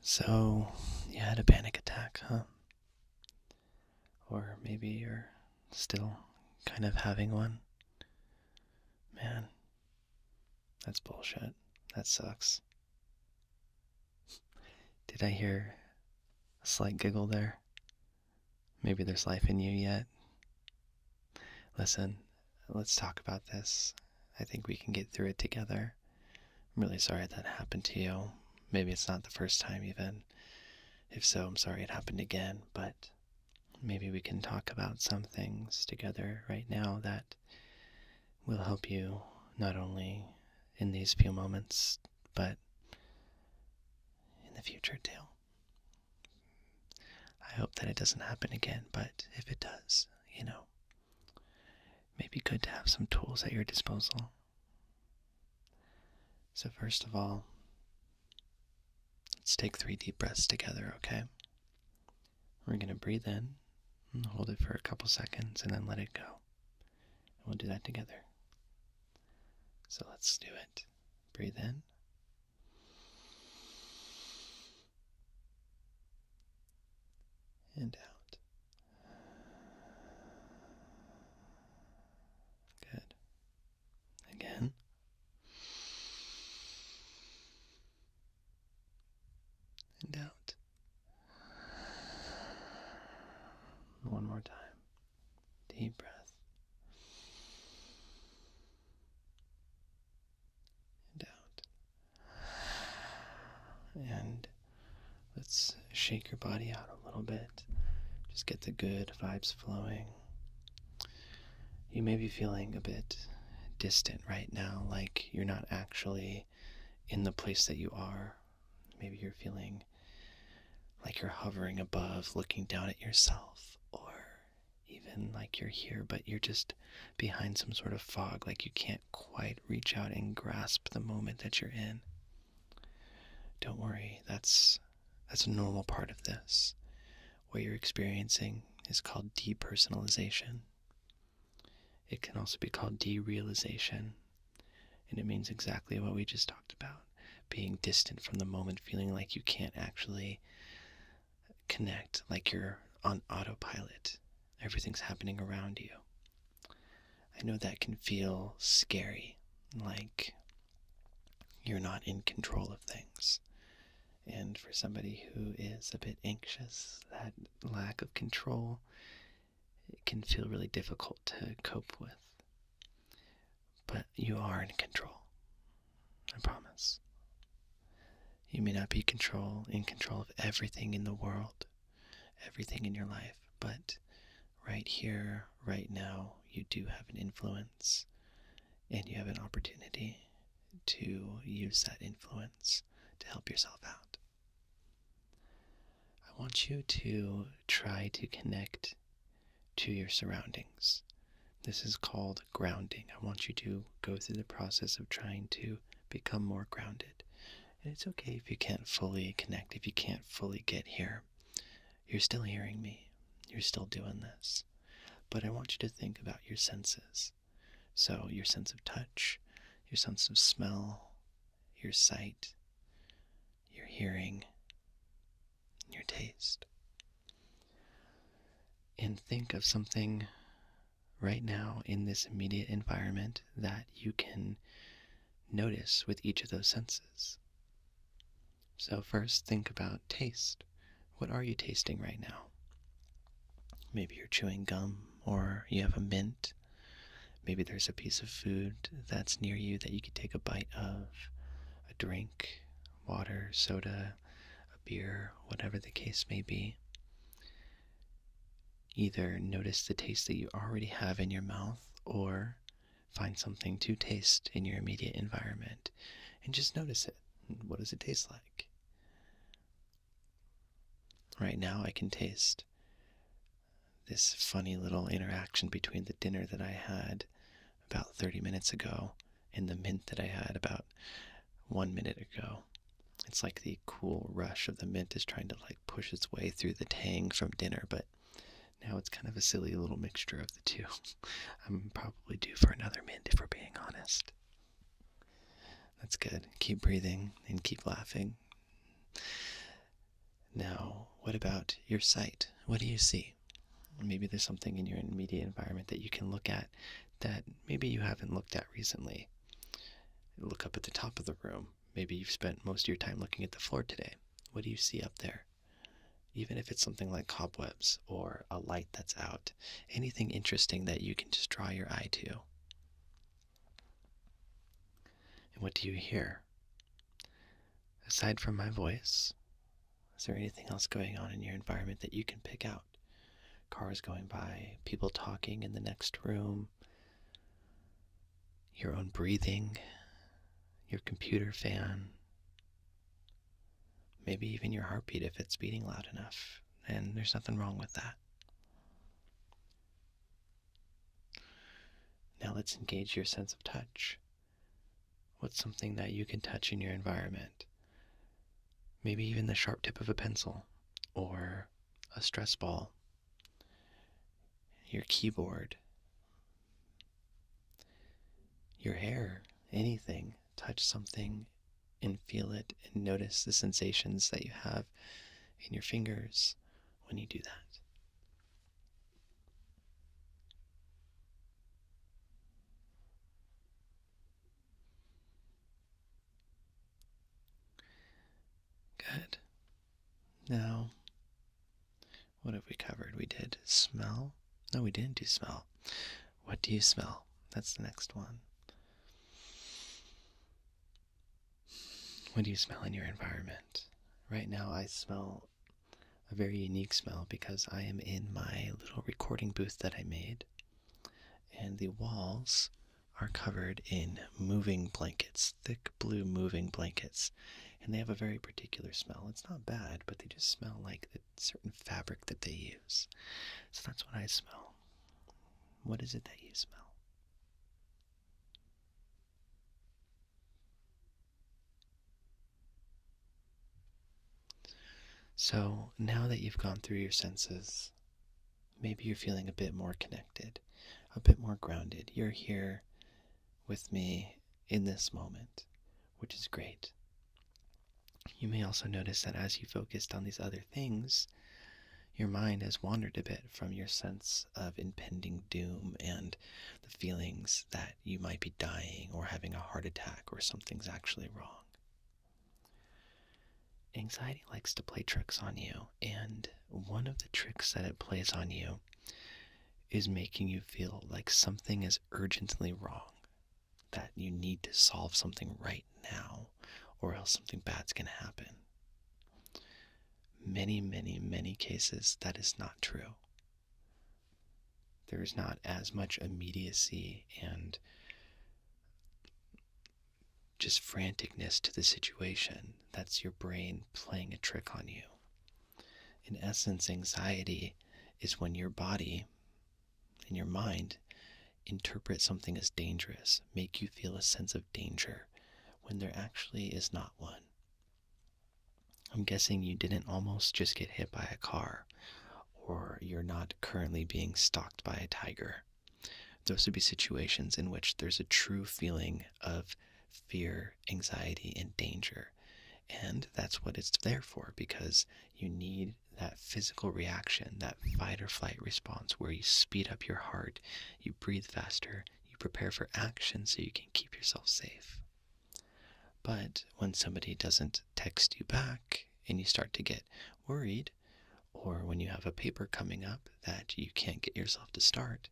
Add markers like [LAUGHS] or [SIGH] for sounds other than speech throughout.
So, you had a panic attack, huh? Or maybe you're still kind of having one? Man, that's bullshit. That sucks. Did I hear a slight giggle there? Maybe there's life in you yet. Listen, let's talk about this. I think we can get through it together. I'm really sorry that happened to you. Maybe it's not the first time, even. If so, I'm sorry it happened again, but maybe we can talk about some things together right now that will help you not only in these few moments, but in the future too. I hope that it doesn't happen again, but if it does, you know, may be good to have some tools at your disposal. So, first of all, let's take three deep breaths together, okay? We're going to breathe in, hold it for a couple seconds, and then let it go. And we'll do that together. So, let's do it. Breathe in. And out. Good. Again. And out. One more time. Deep breath. And out. And let's shake your body out a little bit. Just get the good vibes flowing. You may be feeling a bit distant right now, like you're not actually in the place that you are. Maybe you're feeling like you're hovering above, looking down at yourself, or even like you're here, but you're just behind some sort of fog, like you can't quite reach out and grasp the moment that you're in. Don't worry, that's that's a normal part of this. What you're experiencing is called depersonalization. It can also be called derealization, and it means exactly what we just talked about being distant from the moment, feeling like you can't actually connect, like you're on autopilot. Everything's happening around you. I know that can feel scary, like you're not in control of things. And for somebody who is a bit anxious, that lack of control it can feel really difficult to cope with. But you are in control. I promise. You may not be control in control of everything in the world, everything in your life, but right here, right now, you do have an influence and you have an opportunity to use that influence to help yourself out. I want you to try to connect to your surroundings. This is called grounding. I want you to go through the process of trying to become more grounded. And it's okay if you can't fully connect, if you can't fully get here. You're still hearing me. You're still doing this. But I want you to think about your senses. So, your sense of touch, your sense of smell, your sight, your hearing, your taste. And think of something right now in this immediate environment that you can notice with each of those senses. So, first, think about taste. What are you tasting right now? Maybe you're chewing gum or you have a mint. Maybe there's a piece of food that's near you that you could take a bite of a drink, water, soda, a beer, whatever the case may be. Either notice the taste that you already have in your mouth or find something to taste in your immediate environment and just notice it. What does it taste like? Right now, I can taste this funny little interaction between the dinner that I had about 30 minutes ago and the mint that I had about one minute ago. It's like the cool rush of the mint is trying to like push its way through the tang from dinner, but now it's kind of a silly little mixture of the two. [LAUGHS] I'm probably due for another mint if we're being honest. That's good. Keep breathing and keep laughing. Now, what about your sight? What do you see? Maybe there's something in your immediate environment that you can look at that maybe you haven't looked at recently. Look up at the top of the room maybe you've spent most of your time looking at the floor today. What do you see up there? Even if it's something like cobwebs or a light that's out, anything interesting that you can just draw your eye to. And what do you hear? Aside from my voice, is there anything else going on in your environment that you can pick out? Cars going by, people talking in the next room, your own breathing, your computer fan, maybe even your heartbeat if it's beating loud enough. And there's nothing wrong with that. Now let's engage your sense of touch. What's something that you can touch in your environment? Maybe even the sharp tip of a pencil or a stress ball your keyboard, your hair, anything. Touch something and feel it and notice the sensations that you have in your fingers when you do that. Good. Now, what have we covered? We did smell. No, we didn't do smell. What do you smell? That's the next one. What do you smell in your environment? Right now, I smell a very unique smell because I am in my little recording booth that I made, and the walls are covered in moving blankets, thick blue moving blankets, and they have a very particular smell. It's not bad, but they just smell like the certain fabric that they use. So that's what I smell. What is it that you smell? So now that you've gone through your senses, maybe you're feeling a bit more connected, a bit more grounded. You're here with me in this moment, which is great. You may also notice that as you focused on these other things, your mind has wandered a bit from your sense of impending doom and the feelings that you might be dying or having a heart attack or something's actually wrong anxiety likes to play tricks on you, and one of the tricks that it plays on you is making you feel like something is urgently wrong, that you need to solve something right now, or else something bad's going to happen. Many, many, many cases, that is not true. There is not as much immediacy and just franticness to the situation. That's your brain playing a trick on you. In essence, anxiety is when your body and your mind interpret something as dangerous, make you feel a sense of danger when there actually is not one. I'm guessing you didn't almost just get hit by a car, or you're not currently being stalked by a tiger. Those would be situations in which there's a true feeling of fear, anxiety, and danger. And that's what it's there for because you need that physical reaction, that fight or flight response where you speed up your heart, you breathe faster, you prepare for action so you can keep yourself safe. But when somebody doesn't text you back and you start to get worried, or when you have a paper coming up that you can't get yourself to start,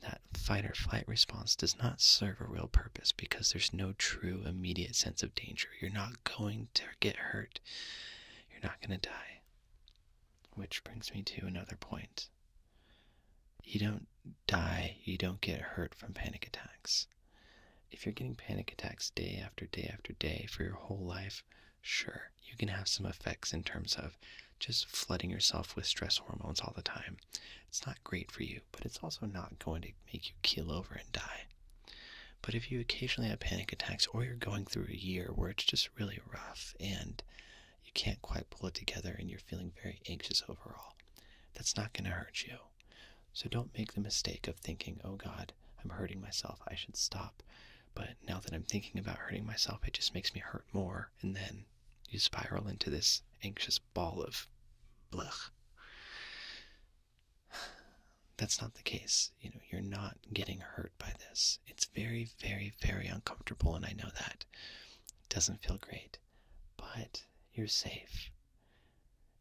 that fight or flight response does not serve a real purpose because there's no true immediate sense of danger. You're not going to get hurt, you're not going to die. Which brings me to another point. You don't die, you don't get hurt from panic attacks. If you're getting panic attacks day after day after day for your whole life, sure, you can have some effects in terms of just flooding yourself with stress hormones all the time. It's not great for you, but it's also not going to make you keel over and die. But if you occasionally have panic attacks or you're going through a year where it's just really rough and you can't quite pull it together and you're feeling very anxious overall, that's not going to hurt you. So don't make the mistake of thinking, oh God, I'm hurting myself, I should stop. But now that I'm thinking about hurting myself, it just makes me hurt more. And then you spiral into this anxious ball of blech. That's not the case. You know, you're not getting hurt by this. It's very, very, very uncomfortable, and I know that. It doesn't feel great, but you're safe.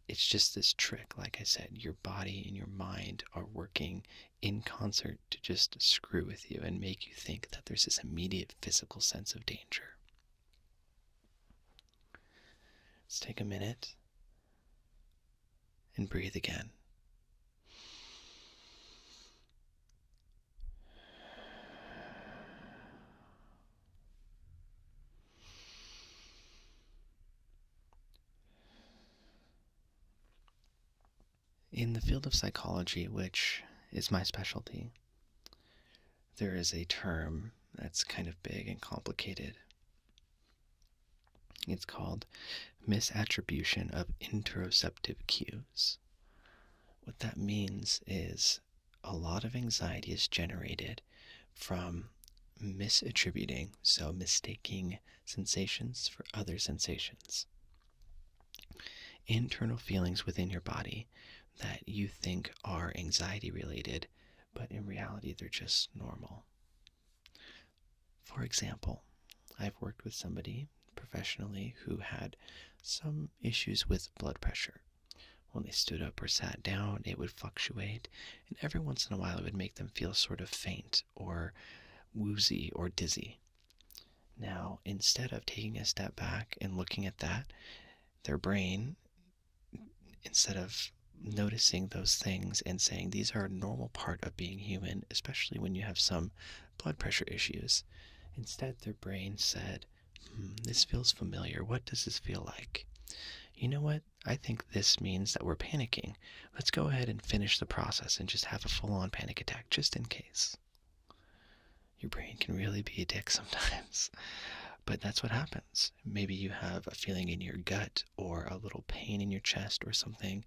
It's just this trick, like I said, your body and your mind are working in concert to just screw with you and make you think that there's this immediate physical sense of danger. Let's take a minute and breathe again. In the field of psychology, which is my specialty, there is a term that's kind of big and complicated. It's called misattribution of interoceptive cues. What that means is a lot of anxiety is generated from misattributing, so mistaking sensations for other sensations internal feelings within your body that you think are anxiety related, but in reality they're just normal. For example, I've worked with somebody professionally who had some issues with blood pressure. When they stood up or sat down, it would fluctuate, and every once in a while it would make them feel sort of faint or woozy or dizzy. Now, instead of taking a step back and looking at that, their brain, instead of noticing those things and saying these are a normal part of being human, especially when you have some blood pressure issues, instead their brain said, hmm, This feels familiar. What does this feel like? You know what? I think this means that we're panicking. Let's go ahead and finish the process and just have a full on panic attack just in case. Your brain can really be a dick [LAUGHS] sometimes, but that's what happens. Maybe you have a feeling in your gut or a little pain in your chest or something,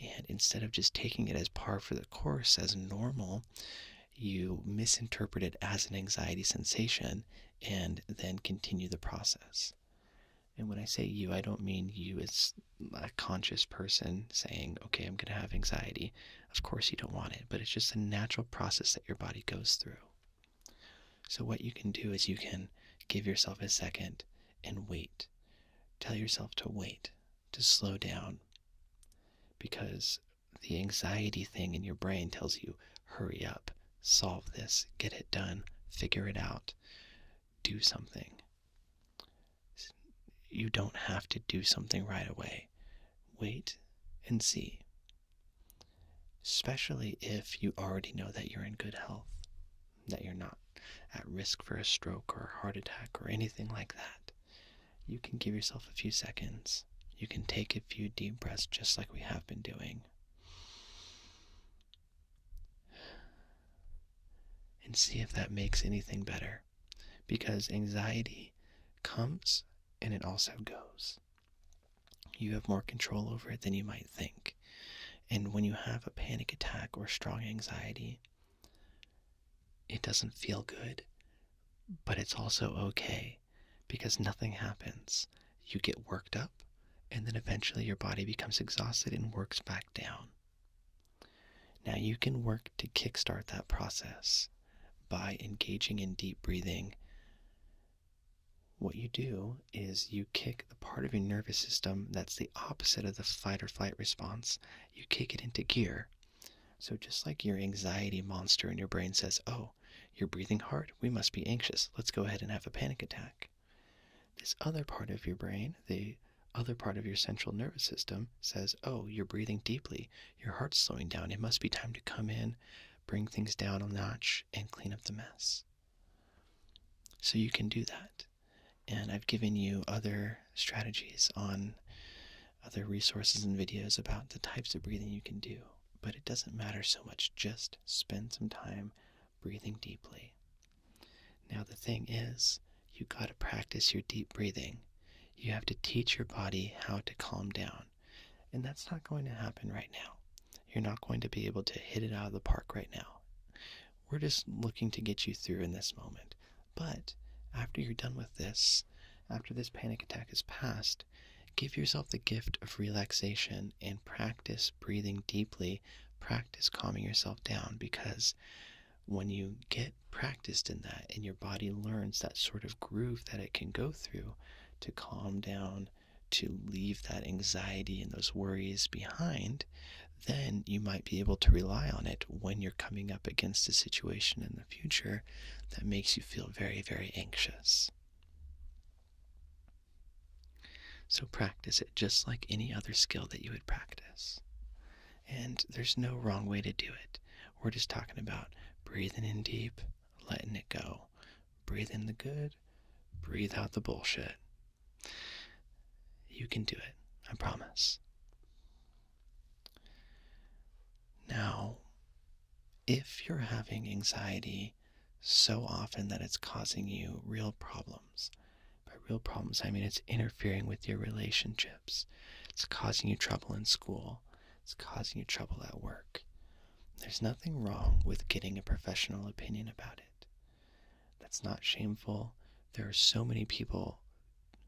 and instead of just taking it as par for the course, as normal, you misinterpret it as an anxiety sensation and then continue the process. And when I say you, I don't mean you as a conscious person saying, okay, I'm going to have anxiety. Of course, you don't want it, but it's just a natural process that your body goes through. So, what you can do is you can give yourself a second and wait. Tell yourself to wait, to slow down, because the anxiety thing in your brain tells you, hurry up, solve this, get it done, figure it out, do something. You don't have to do something right away. Wait and see. Especially if you already know that you're in good health, that you're not at risk for a stroke or a heart attack or anything like that. You can give yourself a few seconds. You can take a few deep breaths just like we have been doing. And see if that makes anything better because anxiety comes and it also goes. You have more control over it than you might think. And when you have a panic attack or strong anxiety, it doesn't feel good, but it's also okay because nothing happens. You get worked up, and then eventually your body becomes exhausted and works back down. Now you can work to kickstart that process by engaging in deep breathing. What you do is you kick the part of your nervous system that's the opposite of the fight or flight response, you kick it into gear. So, just like your anxiety monster in your brain says, Oh, you're breathing hard, we must be anxious, let's go ahead and have a panic attack. This other part of your brain, the other part of your central nervous system says, Oh, you're breathing deeply, your heart's slowing down, it must be time to come in, bring things down a notch, and clean up the mess. So you can do that. And I've given you other strategies on other resources and videos about the types of breathing you can do. But it doesn't matter so much, just spend some time breathing deeply. Now, the thing is, you got to practice your deep breathing. You have to teach your body how to calm down. And that's not going to happen right now. You're not going to be able to hit it out of the park right now. We're just looking to get you through in this moment. But after you're done with this, after this panic attack is past, give yourself the gift of relaxation and practice breathing deeply, practice calming yourself down because when you get practiced in that and your body learns that sort of groove that it can go through to calm down, to leave that anxiety and those worries behind, then you might be able to rely on it when you're coming up against a situation in the future that makes you feel very, very anxious. So practice it just like any other skill that you would practice. And there's no wrong way to do it. We're just talking about breathing in deep, letting it go. breathing the good, breathe out the bullshit. You can do it, I promise. Now, if you're having anxiety so often that it's causing you real problems, by real problems, I mean it's interfering with your relationship it's causing you trouble in school. It's causing you trouble at work. There's nothing wrong with getting a professional opinion about it. That's not shameful. There are so many people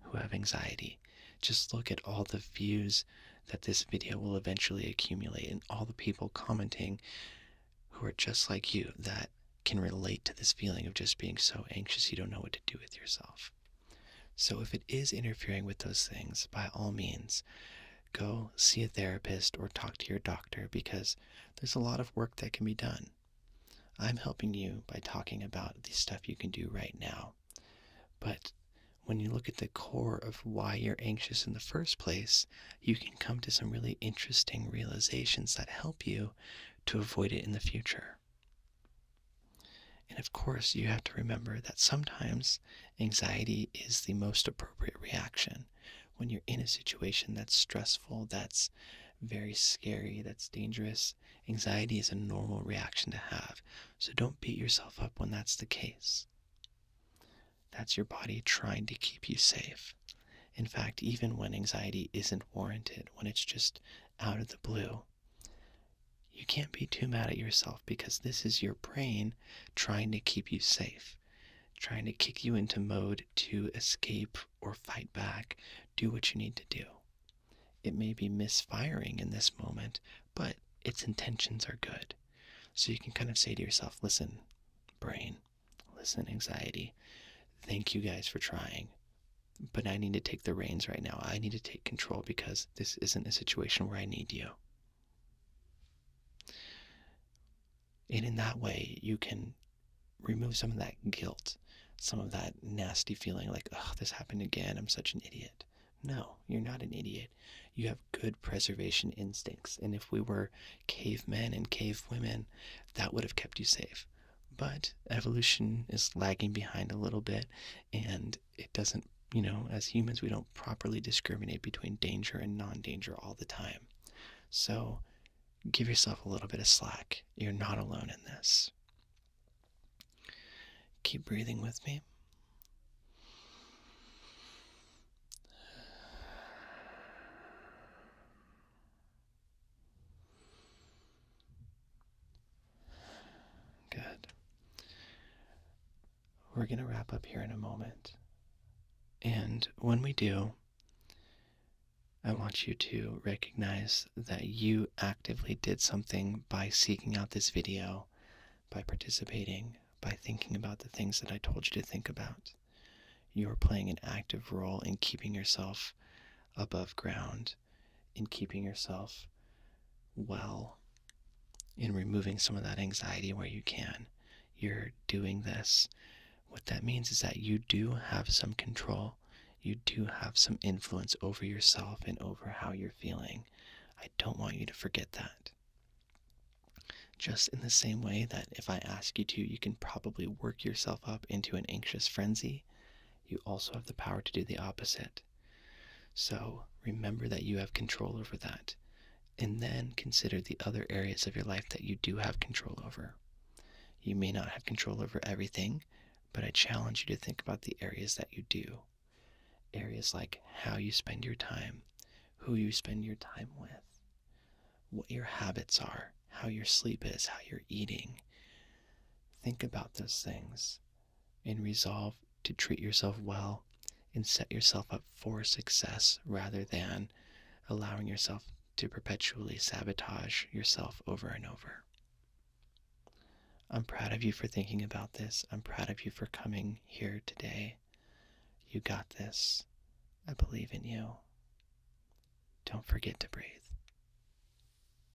who have anxiety. Just look at all the views that this video will eventually accumulate and all the people commenting who are just like you that can relate to this feeling of just being so anxious you don't know what to do with yourself. So, if it is interfering with those things, by all means, go see a therapist or talk to your doctor because there's a lot of work that can be done. I'm helping you by talking about the stuff you can do right now. But when you look at the core of why you're anxious in the first place, you can come to some really interesting realizations that help you to avoid it in the future. And of course, you have to remember that sometimes anxiety is the most appropriate reaction when you're in a situation that's stressful, that's very scary, that's dangerous. Anxiety is a normal reaction to have. So don't beat yourself up when that's the case. That's your body trying to keep you safe. In fact, even when anxiety isn't warranted, when it's just out of the blue, you can't be too mad at yourself because this is your brain trying to keep you safe, trying to kick you into mode to escape or fight back, do what you need to do. It may be misfiring in this moment, but its intentions are good. So you can kind of say to yourself, listen, brain, listen, anxiety, thank you guys for trying. But I need to take the reins right now. I need to take control because this isn't a situation where I need you. And in that way, you can remove some of that guilt, some of that nasty feeling like, oh, this happened again. I'm such an idiot. No, you're not an idiot. You have good preservation instincts. And if we were cavemen and cavewomen, that would have kept you safe but evolution is lagging behind a little bit, and it doesn't, you know, as humans, we don't properly discriminate between danger and non danger all the time. So give yourself a little bit of slack. You're not alone in this. Keep breathing with me. Good. We're going to wrap up here in a moment. And when we do, I want you to recognize that you actively did something by seeking out this video, by participating, by thinking about the things that I told you to think about. You are playing an active role in keeping yourself above ground in keeping yourself well, in removing some of that anxiety where you can. You're doing this. What that means is that you do have some control. You do have some influence over yourself and over how you're feeling. I don't want you to forget that. Just in the same way that if I ask you to, you can probably work yourself up into an anxious frenzy, you also have the power to do the opposite. So remember that you have control over that. And then consider the other areas of your life that you do have control over. You may not have control over everything, but I challenge you to think about the areas that you do. Areas like how you spend your time, who you spend your time with, what your habits are, how your sleep is, how you're eating. Think about those things and resolve to treat yourself well and set yourself up for success rather than allowing yourself to perpetually sabotage yourself over and over. I'm proud of you for thinking about this. I'm proud of you for coming here today. You got this. I believe in you. Don't forget to breathe.